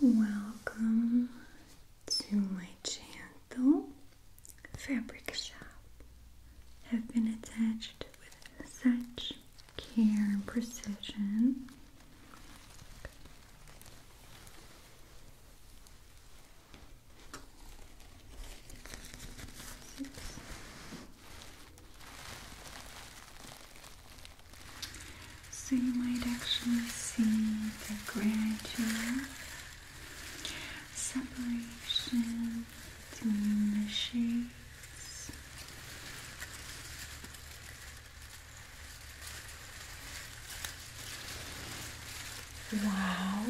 Welcome to my channel, Fabric Shop. Have been attached with such care and precision. So you might actually see the gradual separation between the shades. Wow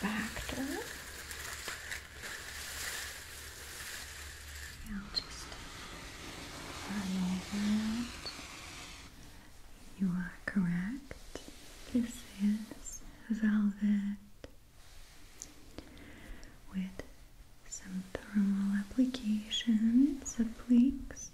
factor. Now just run over it. You are correct. This is velvet with some thermal applications of pleats.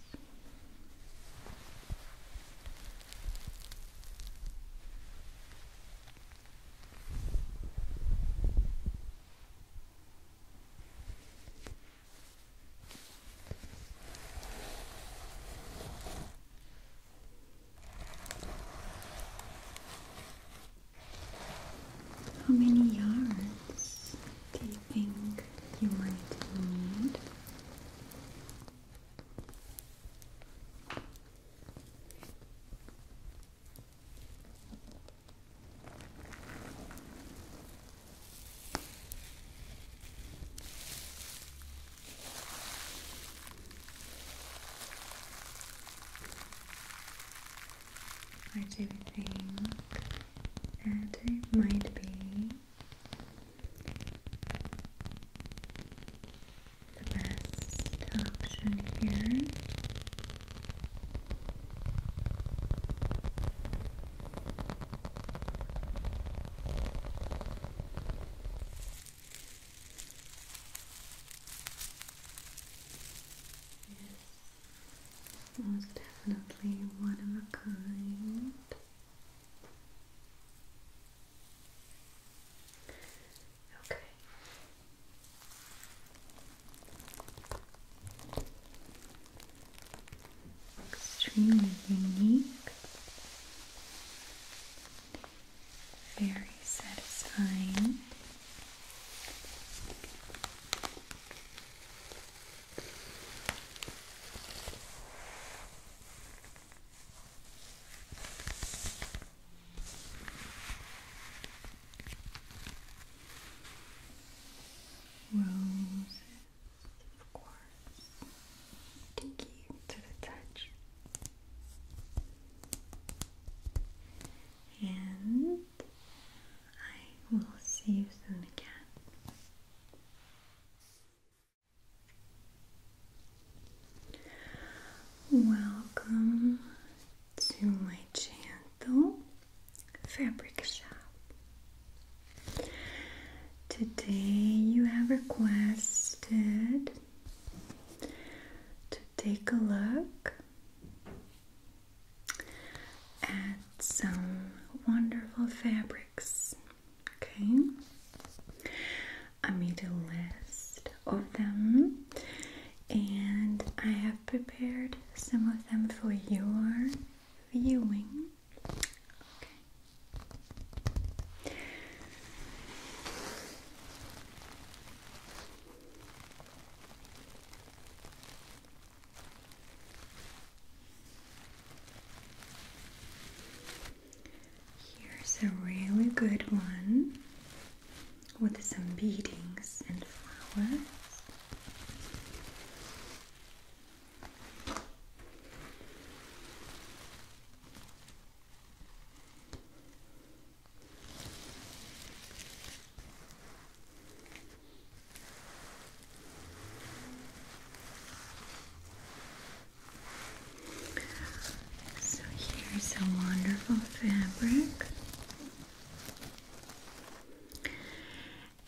How many yards do you think you might need? I do think that it might be the best option here. Yes, most definitely one of a kind. Okay. Extremely unique. Very satisfying. Roses of course, kinky to the touch. And I will see you soon again. Welcome to my channel fabric shop. Today you have requested to take a look at some wonderful fabrics. Okay, I made a list of them and I have prepared some of them for your viewing. Here's a really good one with some beadings and flowers. So here's a wonderful fabric.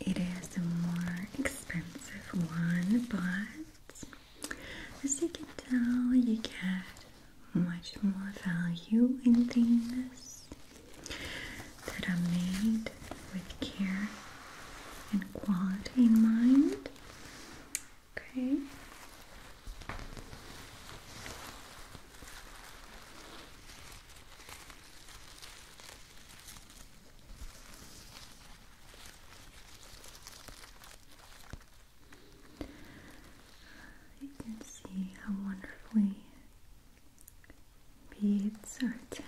It is a more expensive one, but as you can tell, you get much more value in things that are made with care and quality in mind. Okay. You can see how wonderfully beads are attached.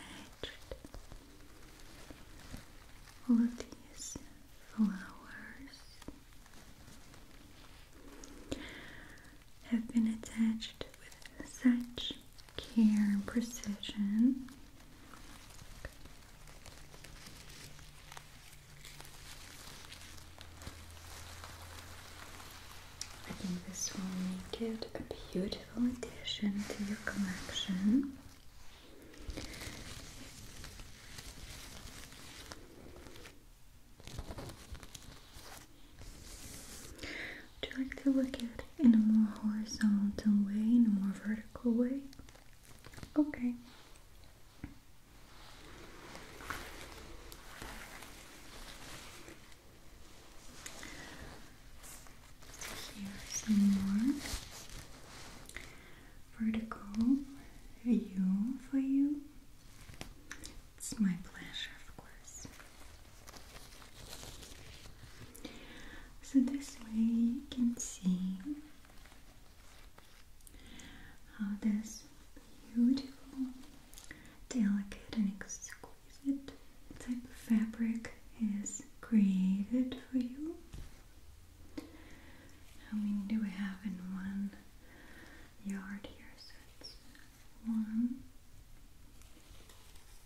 All of these flowers have been attached with such care and precision. I think this will make it a beautiful addition to your collection. Would you like to look at in a more horizontal way, in a more vertical way. Okay. Here's a more vertical view for you. It's my pleasure, of course. So, this way you can see how this beautiful, delicate, and exquisite type of fabric is created for you. How many do we have in one yard here? So, one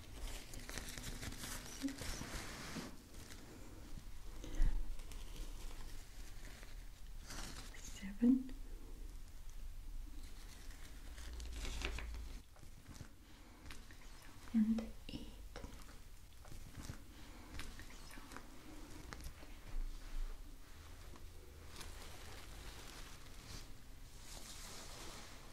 six. Seven, and eight.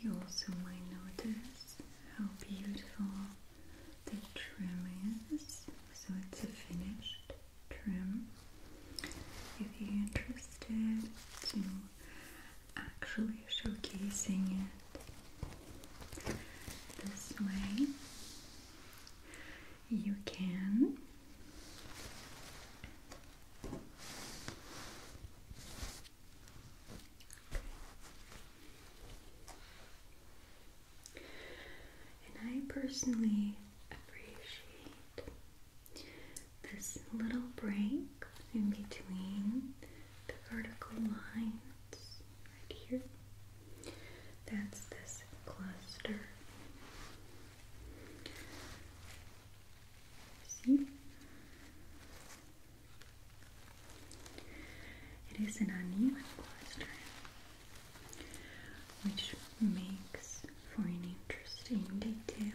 You also might notice how beautiful the trim is, so it's a finished trim. If you're interested in actually showcasing it this way, you can. And I personally appreciate this little break in between the vertical lines right here. That's this cluster. See? It is an uneven cluster, which makes for an interesting detail.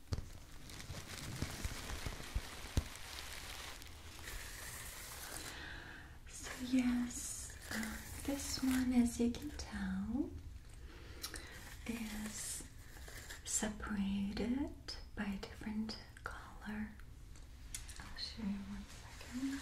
So yes, uh, this one, as you can tell, is separated by a different color. I'll show you one second.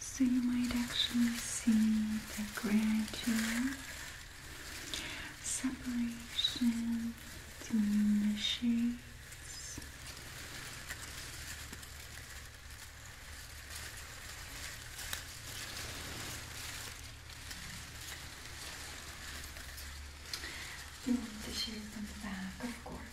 So you might actually see the gradual separation between the shapes. You want the shades on the back, of course.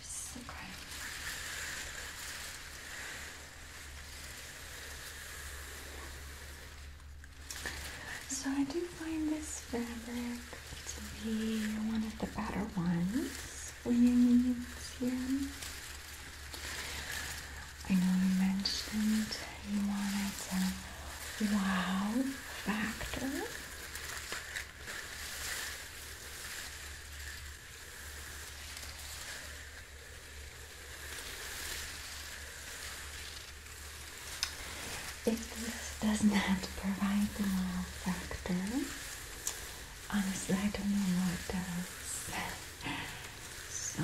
So I do find this fabric to be one of the better ones I know you mentioned you wanted a wow factor. If this does not provide the wow factor, honestly, I don't know what does. So.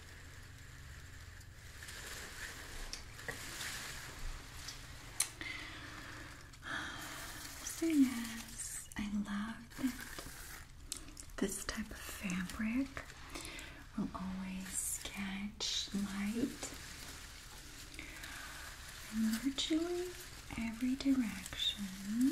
yes, I love that this type of fabric will always catch light virtually every direction.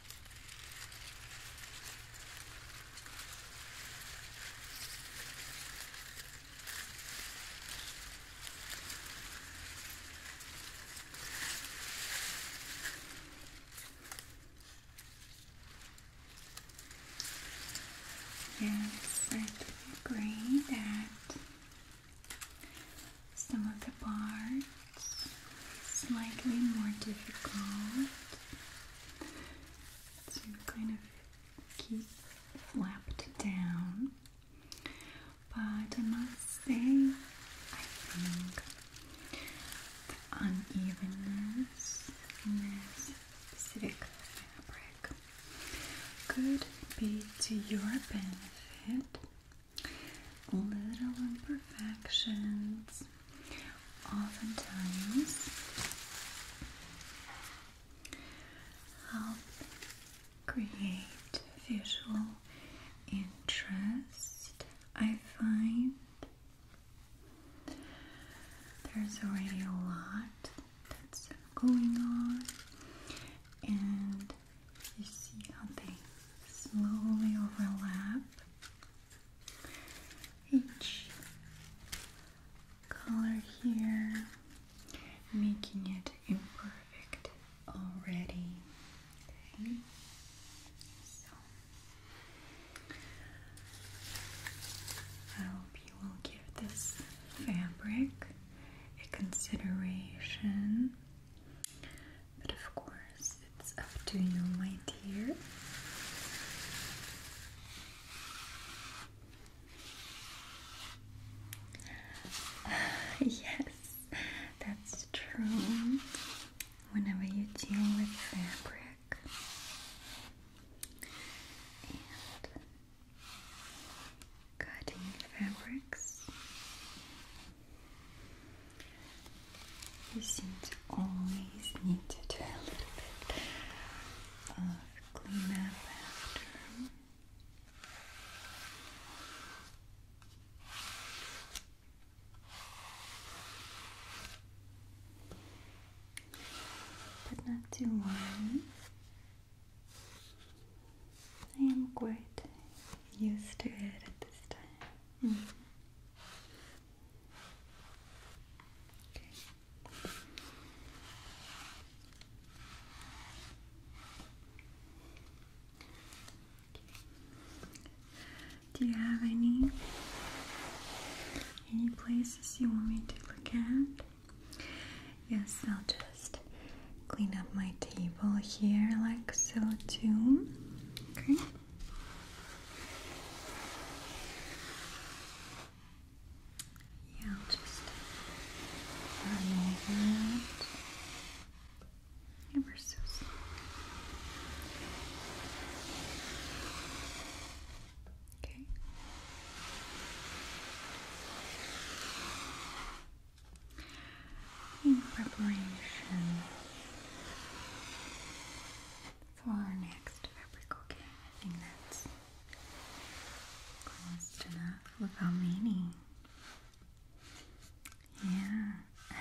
Yes, I agree that some of the parts slightly more difficult to kind of keep flapped down. But I must say, I think the unevenness in this specific fabric could be to your benefit little imperfections. Oftentimes help create visual interest. I find there's already a lot that's going on, and you see how they slowly overlap each color here, making it imperfect already. Okay. I hope you will give this fabric a consideration but of course, it's up to you, my dear. yes, that's true. Whenever you deal with fabric, and cutting fabrics, you seem to always need to do a little bit of cleanup after. But not too much. I am quite used to it at this time. Mm-hmm. Okay. Do you have any any places you want me to look at? Yes, I'll just clean up my table here like so too. Okay. Yeah, I'll just remove that. Ever so slow. Okay in preparation for our next fabric, okay? I think that's close enough. Look how many. Yeah.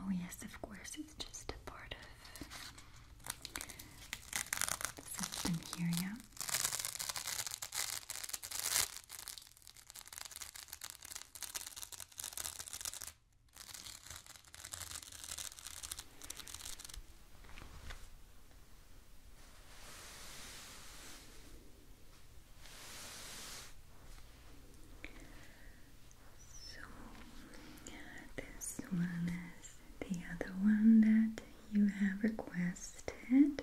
Oh, yes, of course, it's just a part of system here, yeah. So this one is the other one that you have requested.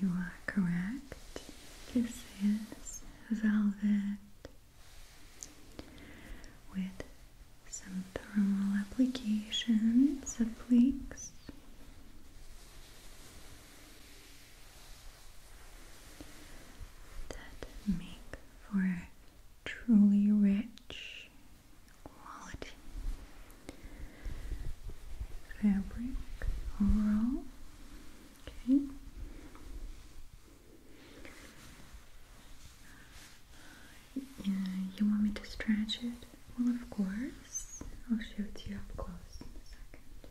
You are correct. This is velvet with some thermal applications of flakes. That make for a truly rich quality fabric overall. Okay. you want me to stretch it? Well, of course. I'll show it to you up close in a second.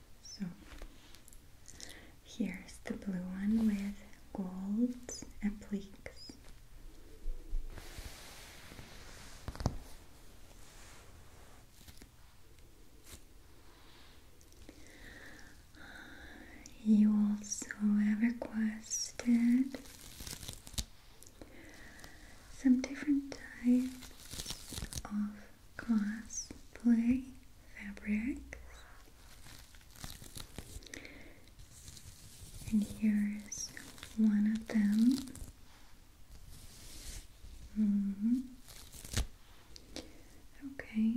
So here's the blue one with gold appliques. You also have requested some different types of Gloss Play Fabrics. And here's one of them. -hmm. Okay.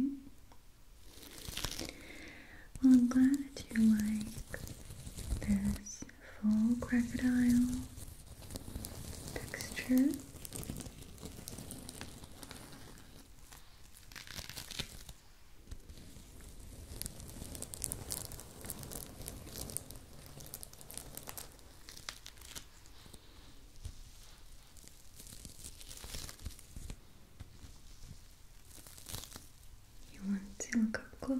Well, I'm glad you like this full crocodile texture. You want to look up close?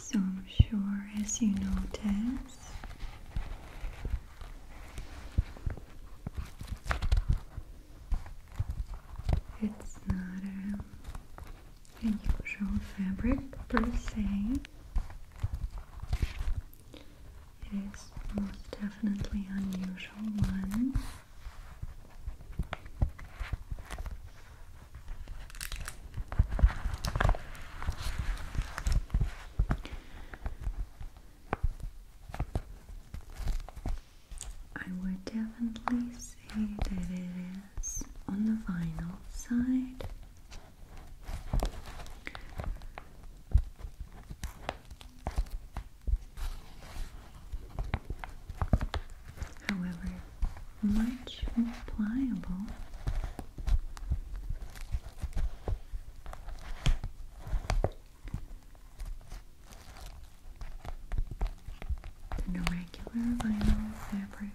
So I'm sure as you notice it's not a, a fabric per se. It is most definitely unusual one. I would definitely say that it is on the vinyl side. However, much more pliable. Than regular vinyl fabrics.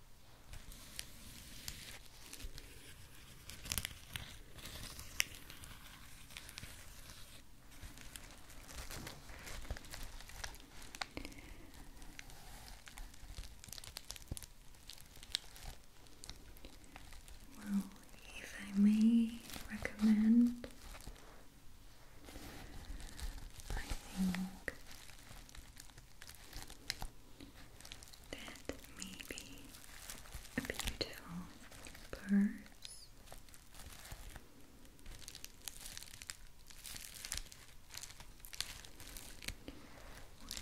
Well, if I may recommend, I think that may a beautiful purse.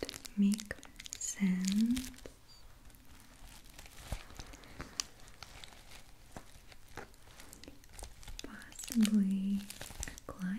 Would make sense. Possibly a clutch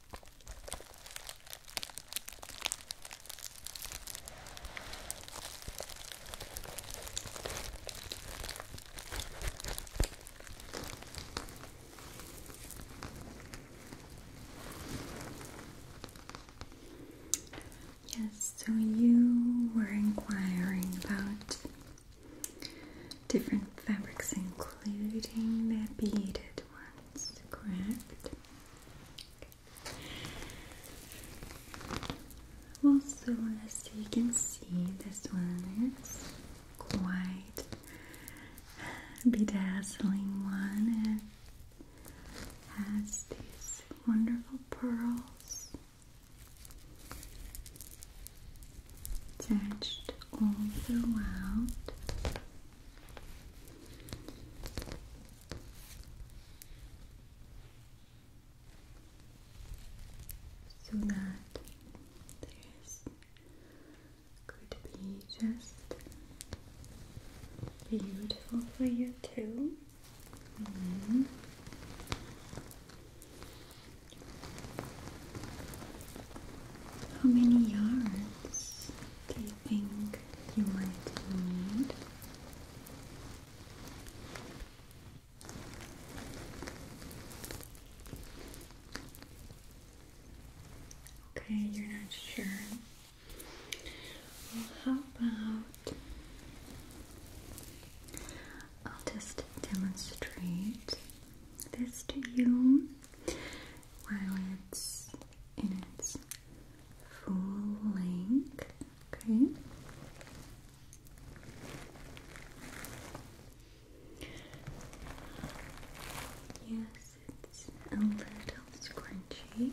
Yes, so you were inquiring about different fabrics, including the beaded ones, correct? Also, as you can see, this one is quite bedazzling one. It has these wonderful pearls attached all throughout so that there's could be just beautiful for you too. Mm-hmm. How many yards do think you might need. Okay, you're not sure. how about I'll just demonstrate this to you while it's in its full length. Okay. Yes, it's a little scrunchy.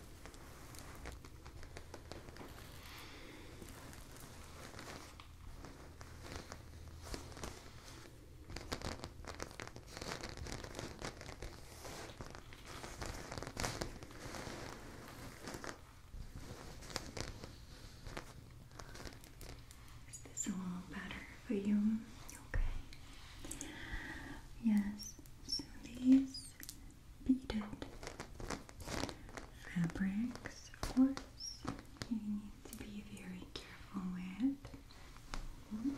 Is this a little better for you? Okay. Yes. So beaded fabrics, of course, you need to be very careful with. Mm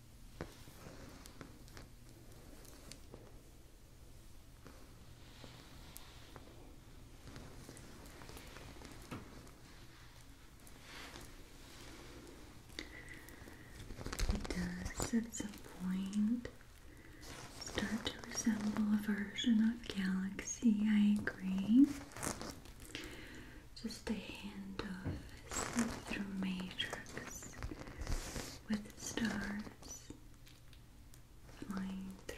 It does at some point start to resemble a version of Galaxy, I agree just a hand of see-through matrix with stars flying through.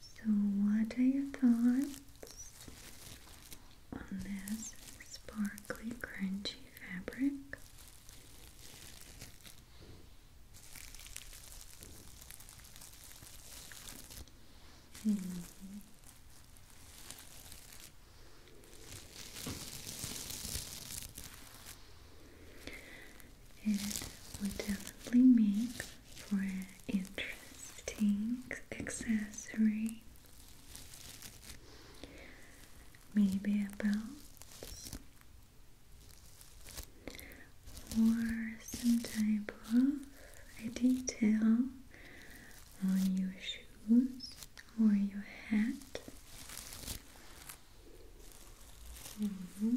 So, what are your thoughts on this sparkly, crunchy fabric? -hmm. It would definitely make for an interesting accessory. Maybe a belt or some type of a detail on your shoes or your hat. -hmm.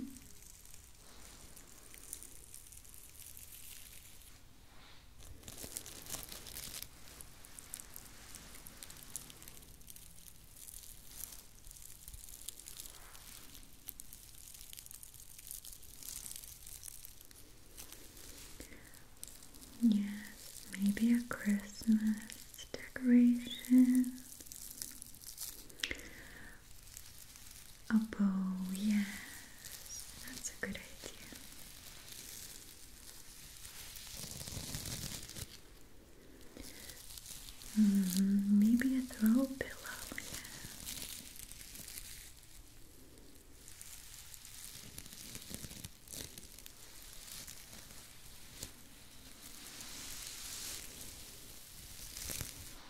Yes, maybe a Christmas decoration. A oh, bow, yes, that's a good idea. Mm-hmm. Maybe a throw pillow, yeah.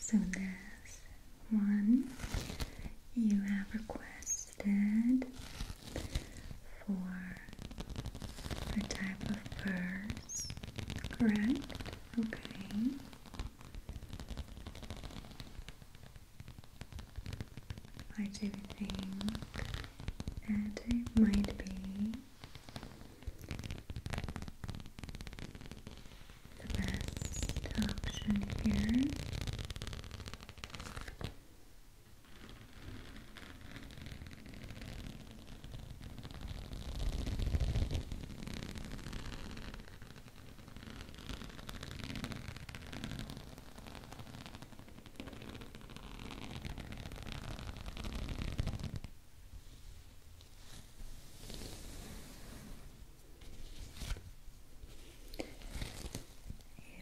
So this one you have requested for a type of purse, correct? Okay. I do think that it might be the best option here.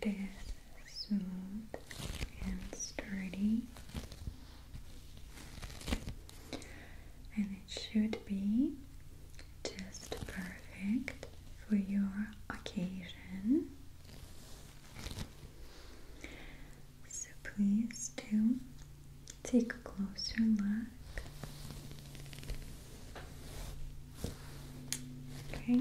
It is smooth and sturdy, and it should be just perfect for your occasion. So please do take a closer look. Okay.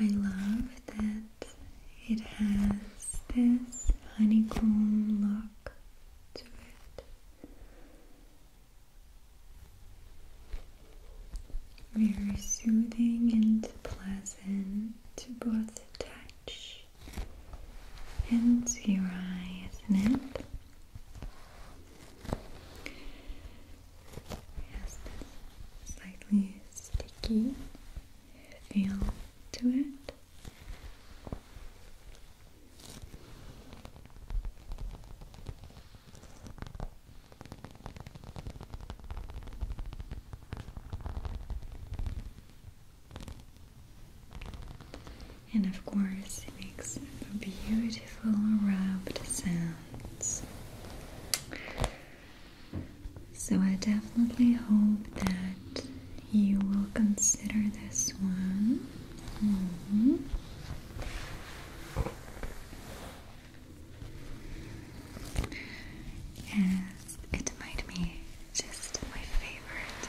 I love that it has this honeycomb look to it. Very soothing and pleasant to both touch and to your eyes, isn't it? Yes, this slightly sticky feel to it. And of course, it makes beautiful rubbed sounds. So, I definitely hope that you will consider this one. Mm-hmm. Yes, it might be just my favorite.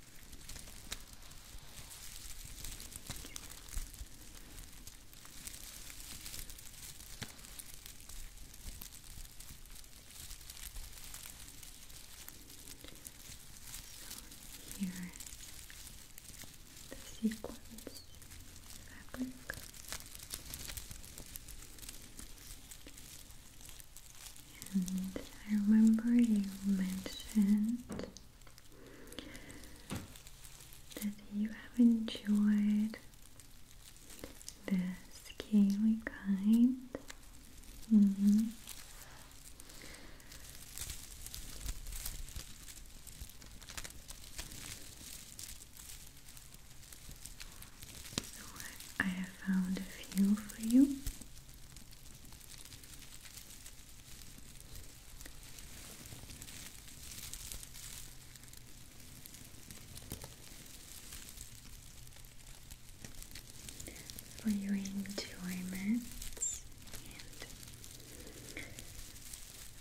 So here the sequence fabric. And I remember you mentioned that you have enjoyed this kiwi kind. Mm-hmm. So I have found a few for you for your enjoyment and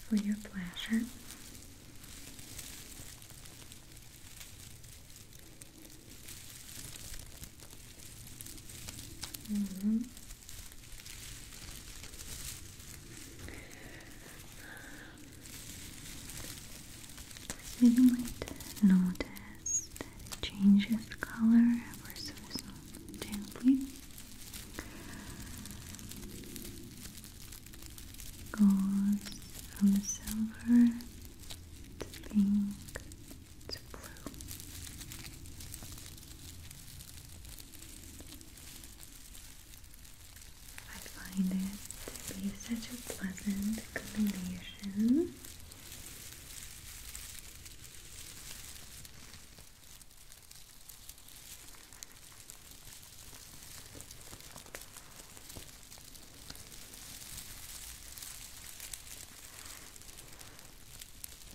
for your pleasure. -hmm. You might notice that it changes color ever so gently. Goes from silver to pink to blue. I find it to be such a pleasant combination.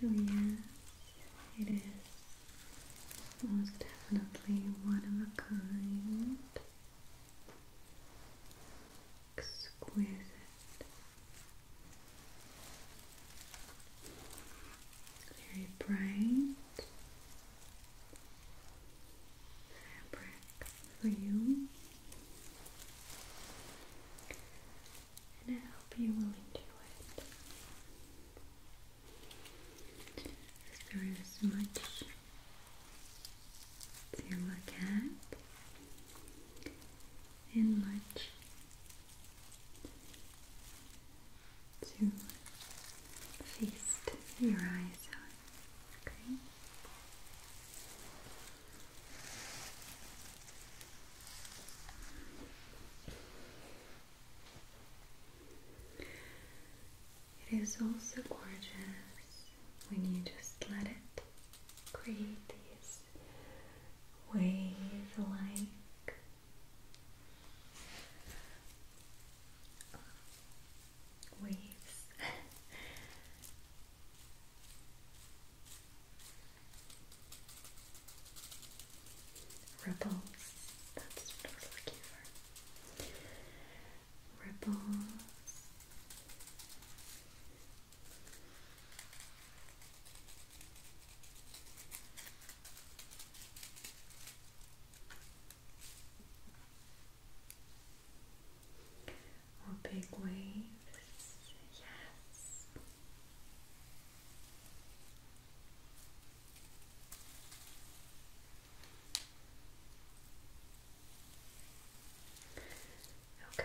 So yes, it is most definitely one of a kind, exquisite very bright fabric for you, and I hope you will enjoy it. There is much to look at and much to feast your eyes on. Okay. It is also gorgeous when you just let it create these wave-like waves. Ripples, that's what I was looking for. Ripples or big waves. Yes. Okay.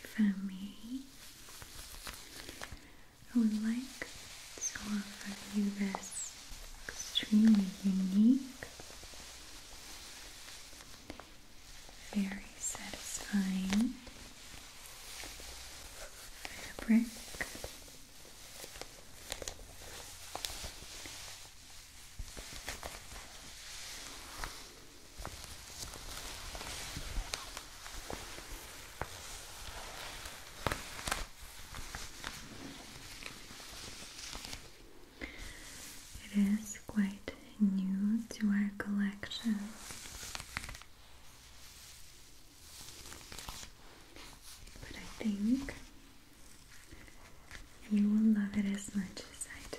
If I may, I would like to offer you this extremely unique very satisfying fabric. It is quite new to our collection. But I think you will love it as much as I do.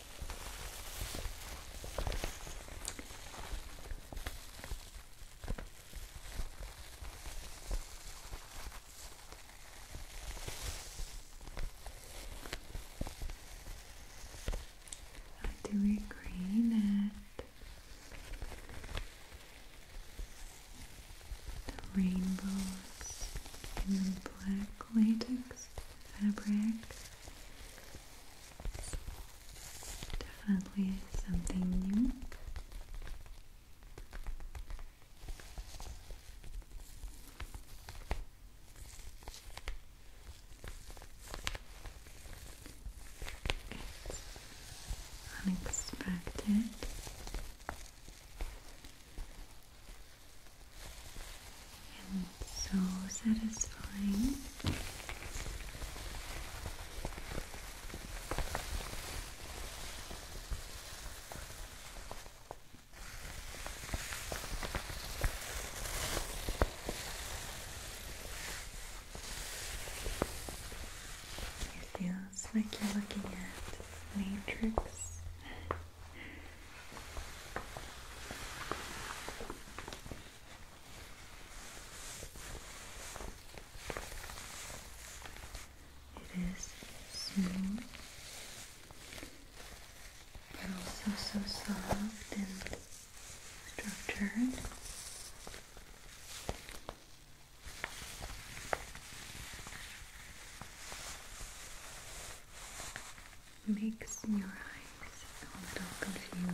I do agree that the rainbows in black latex fabric Definitely something new. unexpected and so satisfying. It feels like you're looking at Matrix. It is smooth, but also so soft and structured makes your eyes a little confused.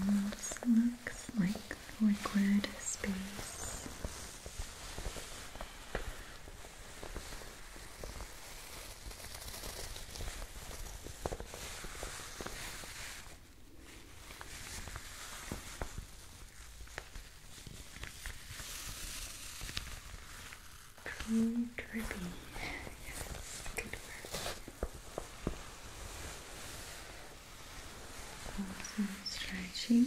Almost looks like liquid space Pretty drippy. yes, good work. Awesome stretching.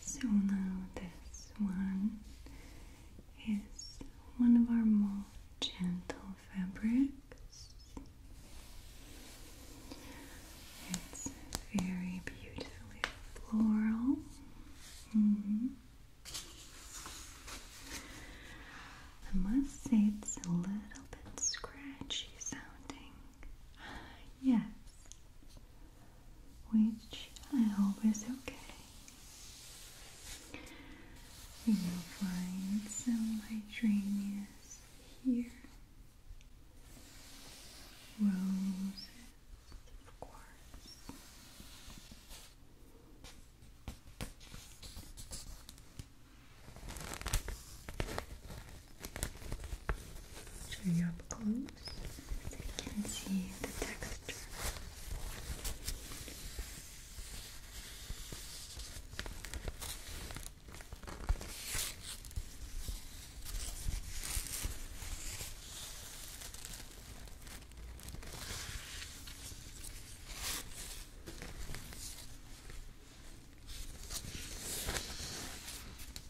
So now this one is one of our more gentle fabrics. It's very beautifully floral. Mm-hmm. I must say it's a little bit scratchy sounding. Ah, yes, which I hope is okay. We will find some hydrangeas here, roses, of course. Show you up close so you can see the texture.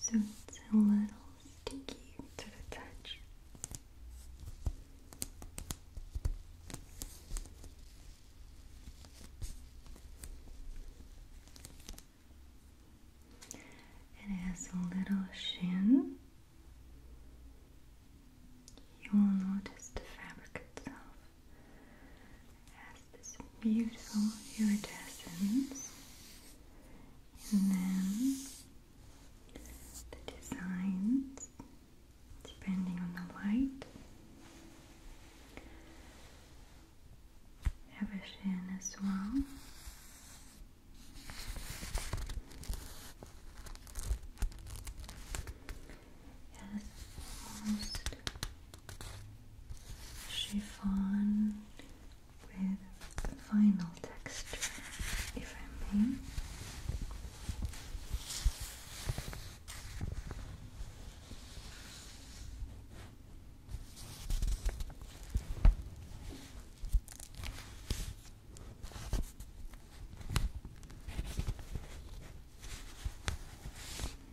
So it's a little sticky to the touch. And it has a little shin. You will notice the fabric itself has this beautiful iridescence and then the designs depending on the light have a shine as well Yes, almost chiffon with vinyl texture, if I may.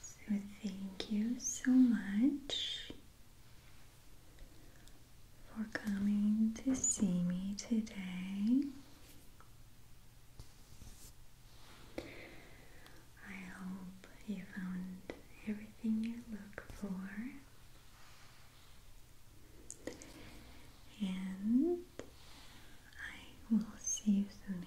So, thank you so much for coming to see me today. I hope you found everything you look for, and I will see you soon again.